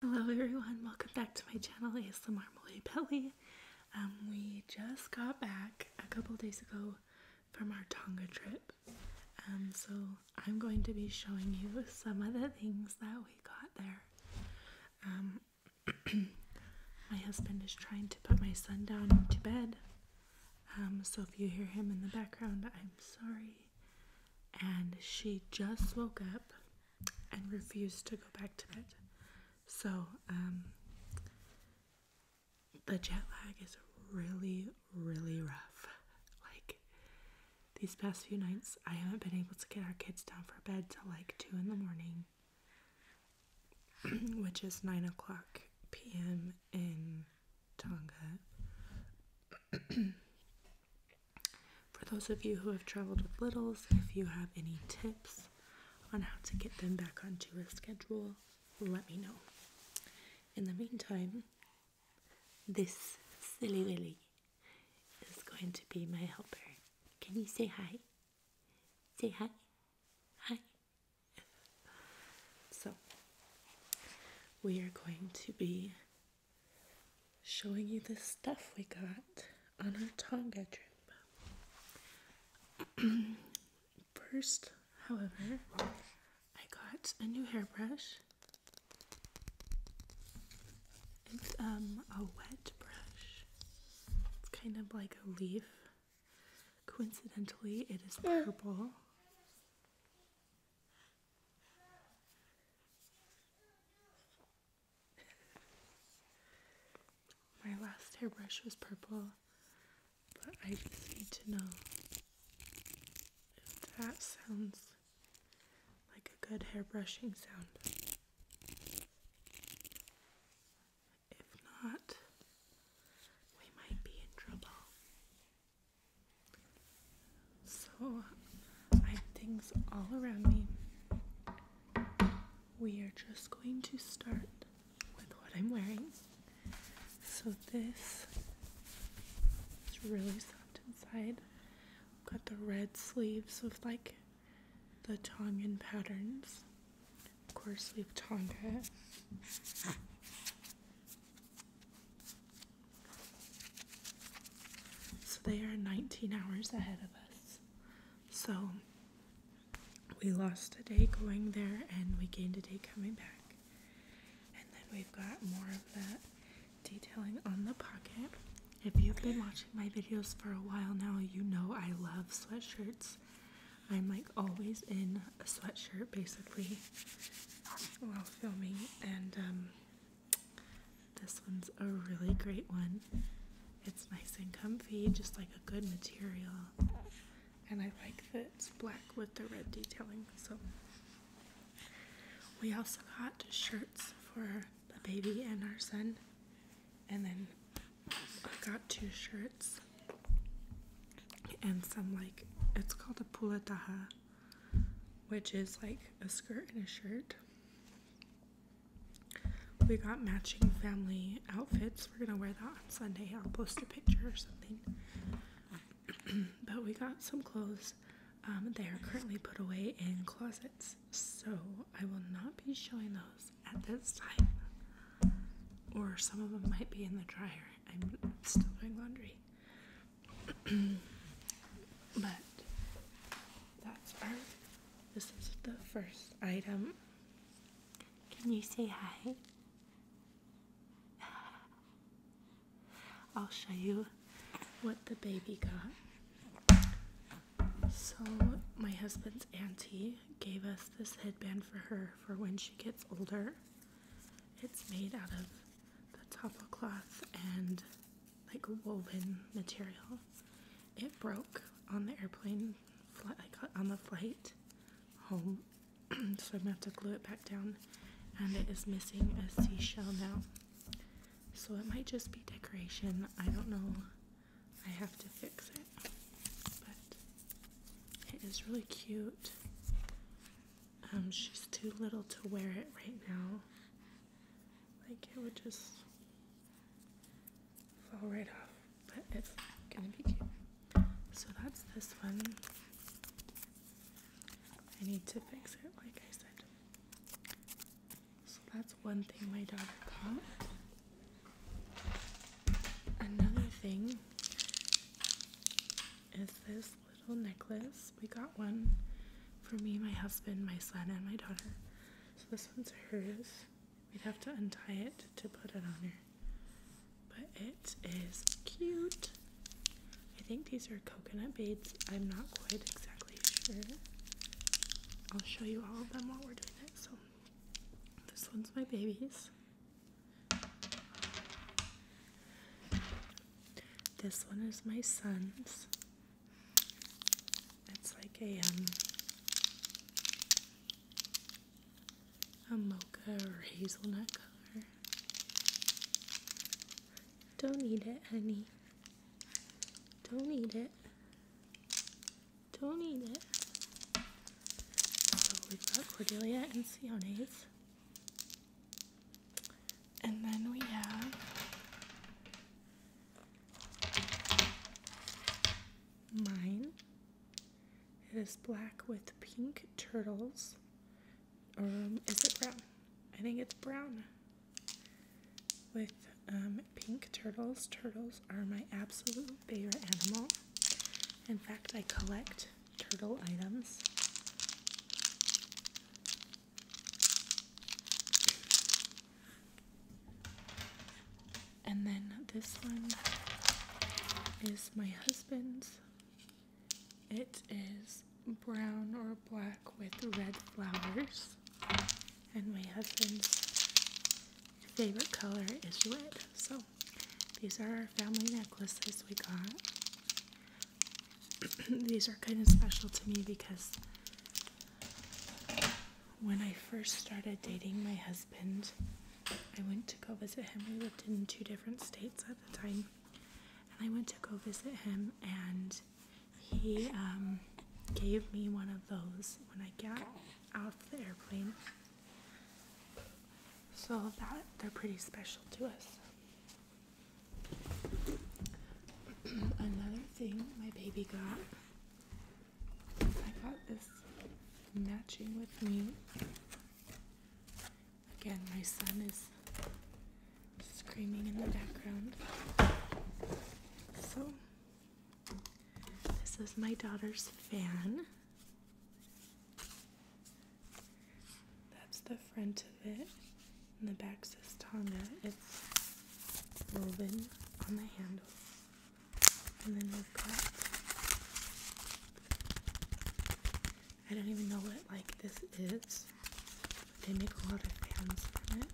Hello everyone, welcome back to my channel ASMR Malay Belly. Um, we just got back a couple days ago from our Tonga trip. Um, so I'm going to be showing you some of the things that we got there. Um, my husband is trying to put my son down to bed. Um, so if you hear him in the background, I'm sorry. And she just woke up and refuse to go back to bed. So, um, the jet lag is really, really rough. Like, these past few nights, I haven't been able to get our kids down for bed till like 2 in the morning, which is 9 o'clock p.m. in Tonga. For those of you who have traveled with littles, if you have any tips on how to get them back onto a schedule, let me know. In the meantime, this silly willy is going to be my helper. Can you say hi? Say hi. Hi. So, we are going to be showing you the stuff we got on our Tonga trip. First, however, I got a new hairbrush. It's um a wet brush. It's kind of like a leaf. Coincidentally, it is purple. My last hairbrush was purple, but I just need to know if that sounds like a good hairbrushing sound. If not, we might be in trouble. So I have things all around me. We are just going to start with what I'm wearing. So this it's really soft inside. got the red sleeves with like the Tongan patterns. Of course, we have Tonga. So they are 19 hours ahead of us. So we lost a day going there and we gained a day coming back. And then we've got more of that detailing on the pocket. If you've been watching my videos for a while now, you know I love sweatshirts. I'm like always in a sweatshirt basically while filming and um, this one's a really great one. It's nice and comfy, just like a good material. And I like that it's black with the red detailing. So we also got shirts for the baby and our son. And then I got two shirts and some like it's called a pulataha, which is like a skirt and a shirt. We got matching family outfits. We're gonna wear that on Sunday. I'll post a picture or something. but we got some clothes. Um, they are currently put away in closets, so I will not be showing those at this time. Or some of them might be in the dryer. I'm still doing laundry. but that's our. This is the first item. Can you say hi? I'll show you what the baby got. So, my husband's auntie gave us this headband for her for when she gets older. It's made out of the top of cloth and like woven material. It broke on the airplane, like on the flight home, so I'm gonna have to glue it back down. And it is missing a seashell now, so it might just be decoration. I don't know. I have to fix it, but it is really cute. Um, she's too little to wear it right now, like it would just fall right off, but it's gonna be cute. So that's this one. I need to fix it, like I said. So that's one thing my daughter got. Another thing is this little necklace. We got one for me, my husband, my son, and my daughter. So this one's hers. We'd have to untie it to put it on her. But it is cute. I think these are coconut beads. I'm not quite exactly sure. I'll show you all of them while we're doing it. So this one's my baby's. This one is my son's. It's like a um a mocha or hazelnut color. Don't eat it, honey. Don't eat it. Don't eat it. we've got Cordelia and Sione's. And then we have mine. It is black with pink turtles. Um, is it brown? I think it's brown. With um, pink turtles. Turtles are my absolute favorite animal. In fact, I collect turtle items. And then this one is my husband's. It is brown or black with red flowers. And my husband's favorite color is red. So these are our family necklaces we got. these are kind of special to me because when I first started dating my husband, I went to go visit him. We lived in two different states at the time, and I went to go visit him, and he um, gave me one of those when I got out of the airplane. So that they're pretty special to us. Another thing my baby got, I got this matching with me. Again, my son is screaming in the background. So, this is my daughter's fan. That's the front of it. And the back says Tonga. It's woven on the handle. And then we've got I don't even know what like this is. But they make a lot of pants from it.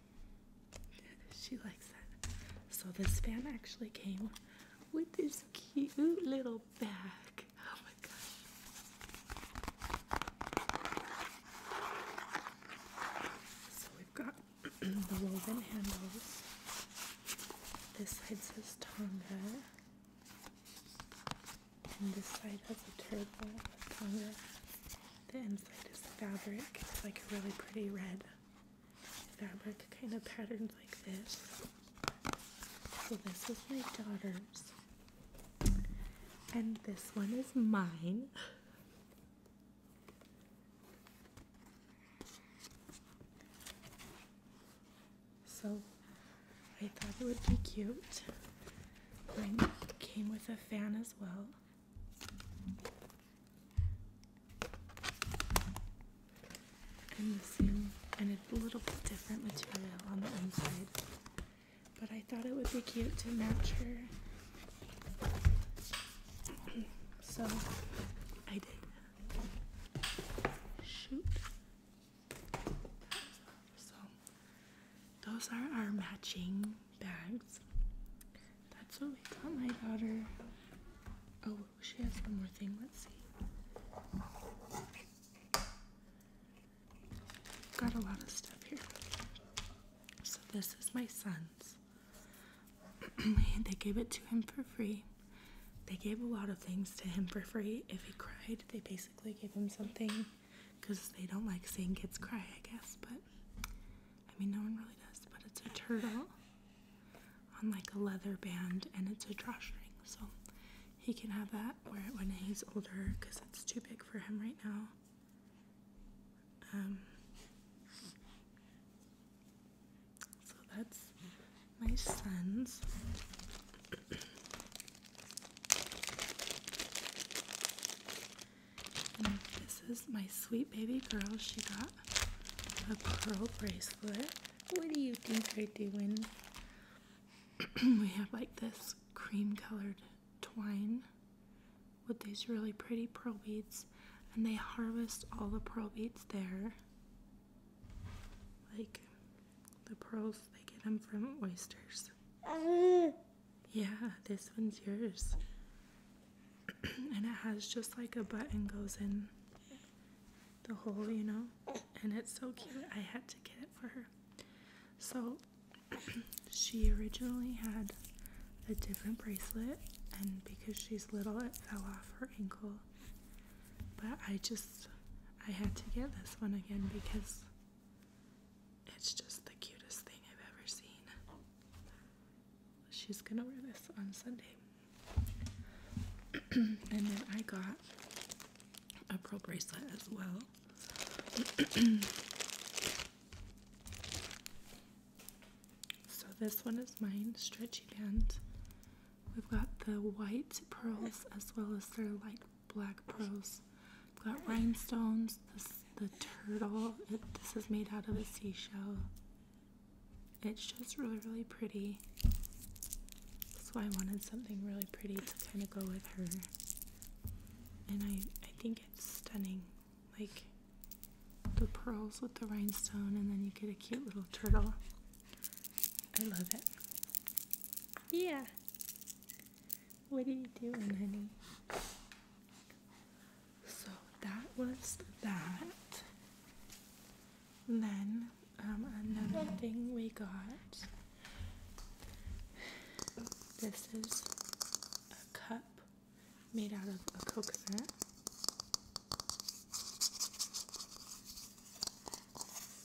she likes that. So this fan actually came with this cute little bag. Oh my gosh. So we've got the woven handles. This side says Tonga. And this side has a turbo with Tonga. The inside is fabric. It's like a really pretty red fabric kind of patterned like this. So this is my daughter's. And this one is mine. So I thought it would be cute. Mine came with a fan as well. I'm using an, a little bit different material on the inside, but I thought it would be cute to match her. so I did. Shoot. So those are our matching bags. That's what we got my daughter. Oh, she has one more thing. Let's see. Got a lot of stuff here. So this is my son's. they gave it to him for free. They gave a lot of things to him for free. If he cried, they basically gave him something because they don't like seeing kids cry, I guess. But I mean, no one really does, but it's a turtle uh-huh. on like a leather band and it's a drawstring. So he can have that when he's older because it's too big for him right now. Um, so that's my son's. And this is my sweet baby girl. She got a pearl bracelet. What do you think we're doing? we have like this cream colored twine with these really pretty pearl beads, and they harvest all the pearl beads there. Like the pearls, they get them from oysters. Uh, yeah, this one's yours. and it has just like a button goes in the hole, you know? And it's so cute. I had to get it for her. So she originally had a different bracelet, and because she's little, it fell off her ankle. But I just, I had to get this one again because it's just the cutest thing I've ever seen she's gonna wear this on Sunday. and then I got a pearl bracelet as well. so this one is mine, stretchy band. We've got the white pearls as well as their light black pearls. We've got rhinestones, the turtle. this is made out of a seashell. It's just really, really pretty. So I wanted something really pretty to kind of go with her. And I, I think it's stunning. Like the pearls with the rhinestone, and then you get a cute little turtle. I love it. Yeah. What are you doing, honey? So that was that. Then um, another thing we got. This is a cup made out of a coconut.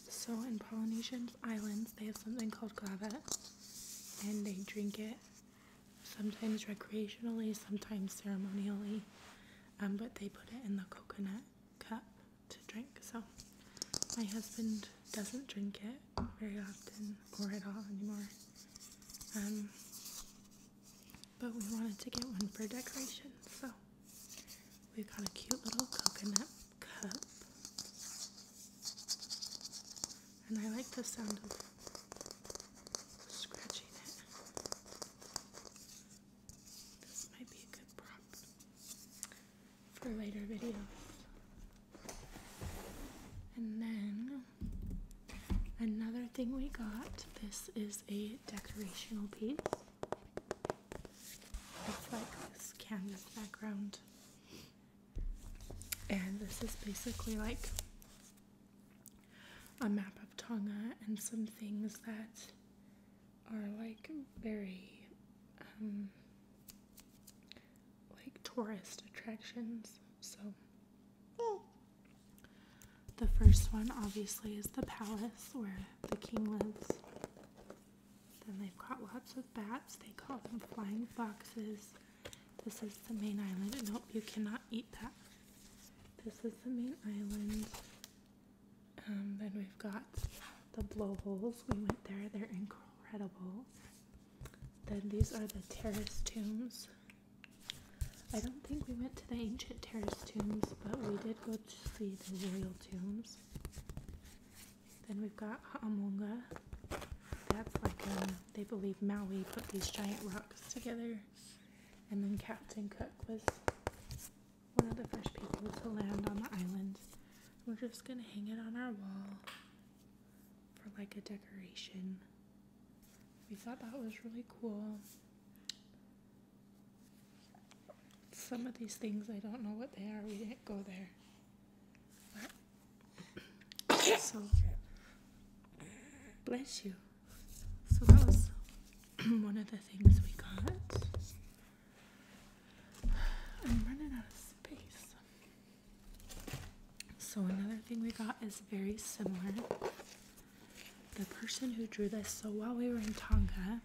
So in Polynesian islands, they have something called kava, and they drink it sometimes recreationally, sometimes ceremonially. Um, but they put it in the coconut cup to drink. So my husband doesn't drink it very often or at all anymore. Um, but we wanted to get one for decoration. So we got a cute little coconut cup. And I like the sound of this might be a good prop for later videos. And then another thing we got this is a decorational piece. It's like this canvas background and this is basically like a map of Tonga and some things that are like very um, like tourist attractions. So the first one obviously is the palace where the king lives. Then they've got lots of bats. They call them flying foxes. This is the main island. Nope, you cannot eat that. This is the main island. Um, then we've got the blowholes. We went there, they're incredible. Then these are the terrace tombs. I don't think we went to the ancient terrace tombs, but we did go to see the royal tombs. Then we've got Ha'amunga. That's like a they believe Maui put these giant rocks together, and then Captain Cook was one of the first people to land on the island. We're just gonna hang it on our wall for like a decoration. We thought that was really cool. Some of these things I don't know what they are, we didn't go there so bless you so that was one of the things we got i'm running out of space so another thing we got is very similar the person who drew this so while we were in tonga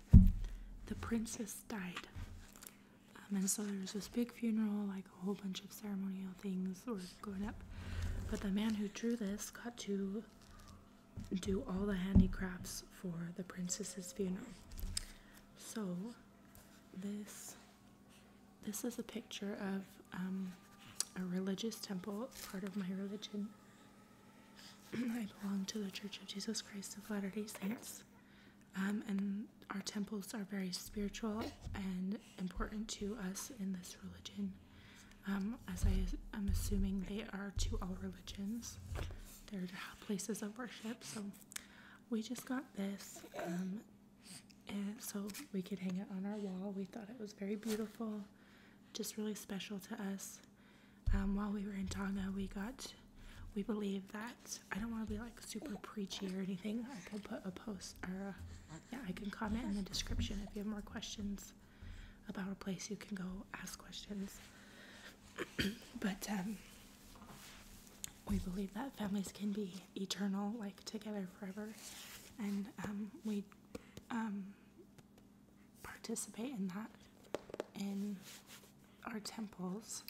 the princess died um, and so there was this big funeral like a whole bunch of ceremonial things were going up. But the man who drew this got to do all the handicrafts for the princess's funeral. So this this is a picture of um, a religious temple, part of my religion. I belong to the Church of Jesus Christ of Latter-day Saints. Um, and our temples are very spiritual and important to us in this religion, um, as I am assuming they are to all religions. They're places of worship. So we just got this, um, and so we could hang it on our wall. We thought it was very beautiful, just really special to us. Um, while we were in Tonga, we got we believe that I don't want to be like super preachy or anything. I could put a post or a yeah, I can comment in the description if you have more questions about a place. You can go ask questions. but um, we believe that families can be eternal, like together forever, and um, we um, participate in that in our temples.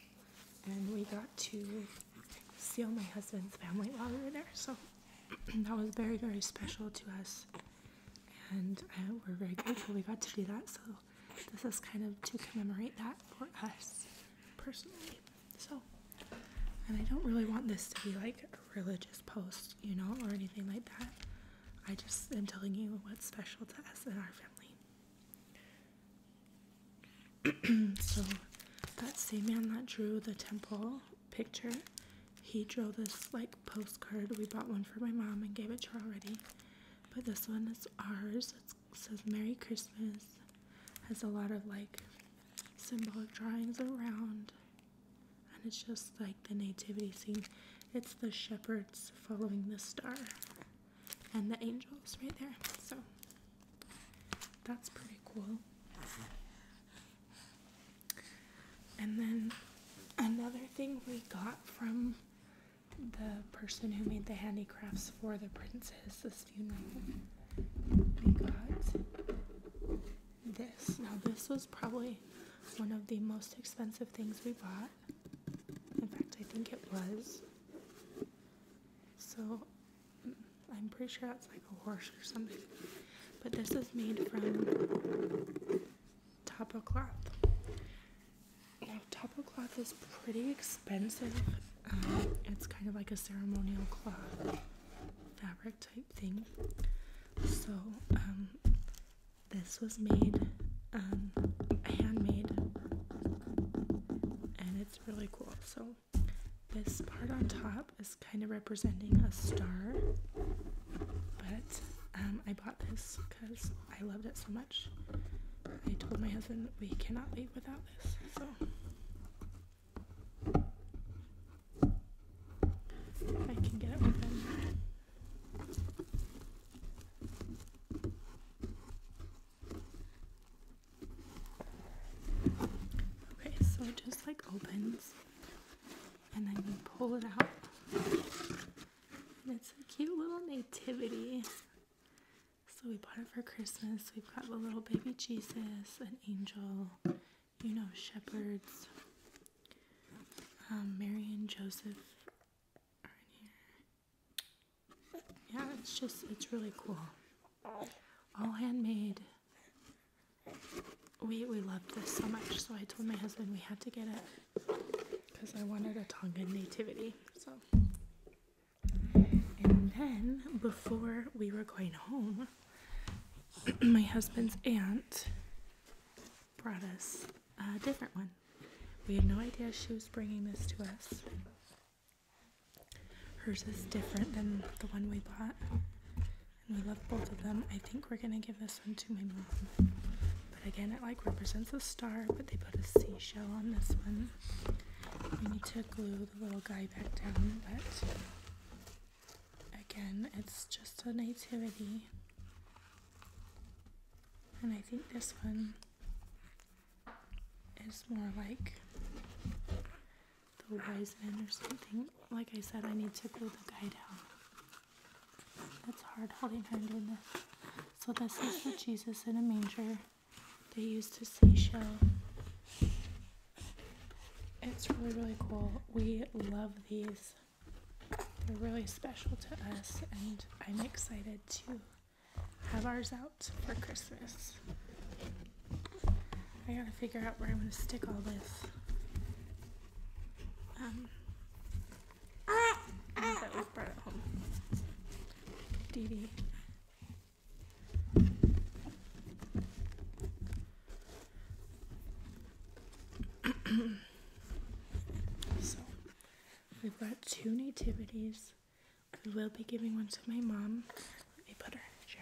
And we got to see all my husband's family while we were there. So that was very, very special to us. And uh, we're very grateful we got to do that. So this is kind of to commemorate that for us personally. So, and I don't really want this to be like a religious post, you know, or anything like that. I just am telling you what's special to us and our family. so, that same man that drew the temple picture. He drew this like postcard. We bought one for my mom and gave it to her already. But this one is ours. it says Merry Christmas. Has a lot of like symbolic drawings around. And it's just like the nativity scene. It's the shepherds following the star and the angels right there. So that's pretty cool. And then another thing we got from the person who made the handicrafts for the princess's funeral, we got this. Now, this was probably one of the most expensive things we bought. In fact, I think it was. So I'm pretty sure that's like a horse or something. But this is made from topo cloth. Now, cloth is pretty expensive. Um, it's kind of like a ceremonial cloth fabric type thing. So, um, this was made um, handmade and it's really cool. So, this part on top is kind of representing a star, but um, I bought this because I loved it so much. I told my husband we cannot leave without this, so. I can get it open. Okay, so just like open, and then you pull it out. And it's a cute little nativity. So we bought it for Christmas. We've got the little baby Jesus, an angel, you know, shepherds. Um, Mary and Joseph Yeah, it's just, it's really cool. All handmade we we loved this so much, so I told my husband we had to get it because I wanted a Tongan nativity. So, and then before we were going home, my husband's aunt brought us a different one. We had no idea she was bringing this to us. Hers is different than the one we bought and we love both of them. I think we're gonna give this one to my mom. But again, it like represents a star, but they put a seashell on this one. We need to glue the little guy back down, but again, it's just a nativity. And I think this one is more like the wise men or something. Like I said, I need to glue the guy down. That's hard holding hand in this. So this is the Jesus in a manger they used to seashell. It's really, really cool. We love these. They're really special to us, and I'm excited to have ours out for Christmas. I gotta figure out where I'm gonna stick all this. Um, ah, ah, that was so, we've got two nativities. We will be giving one to my mom. Let me put her chair.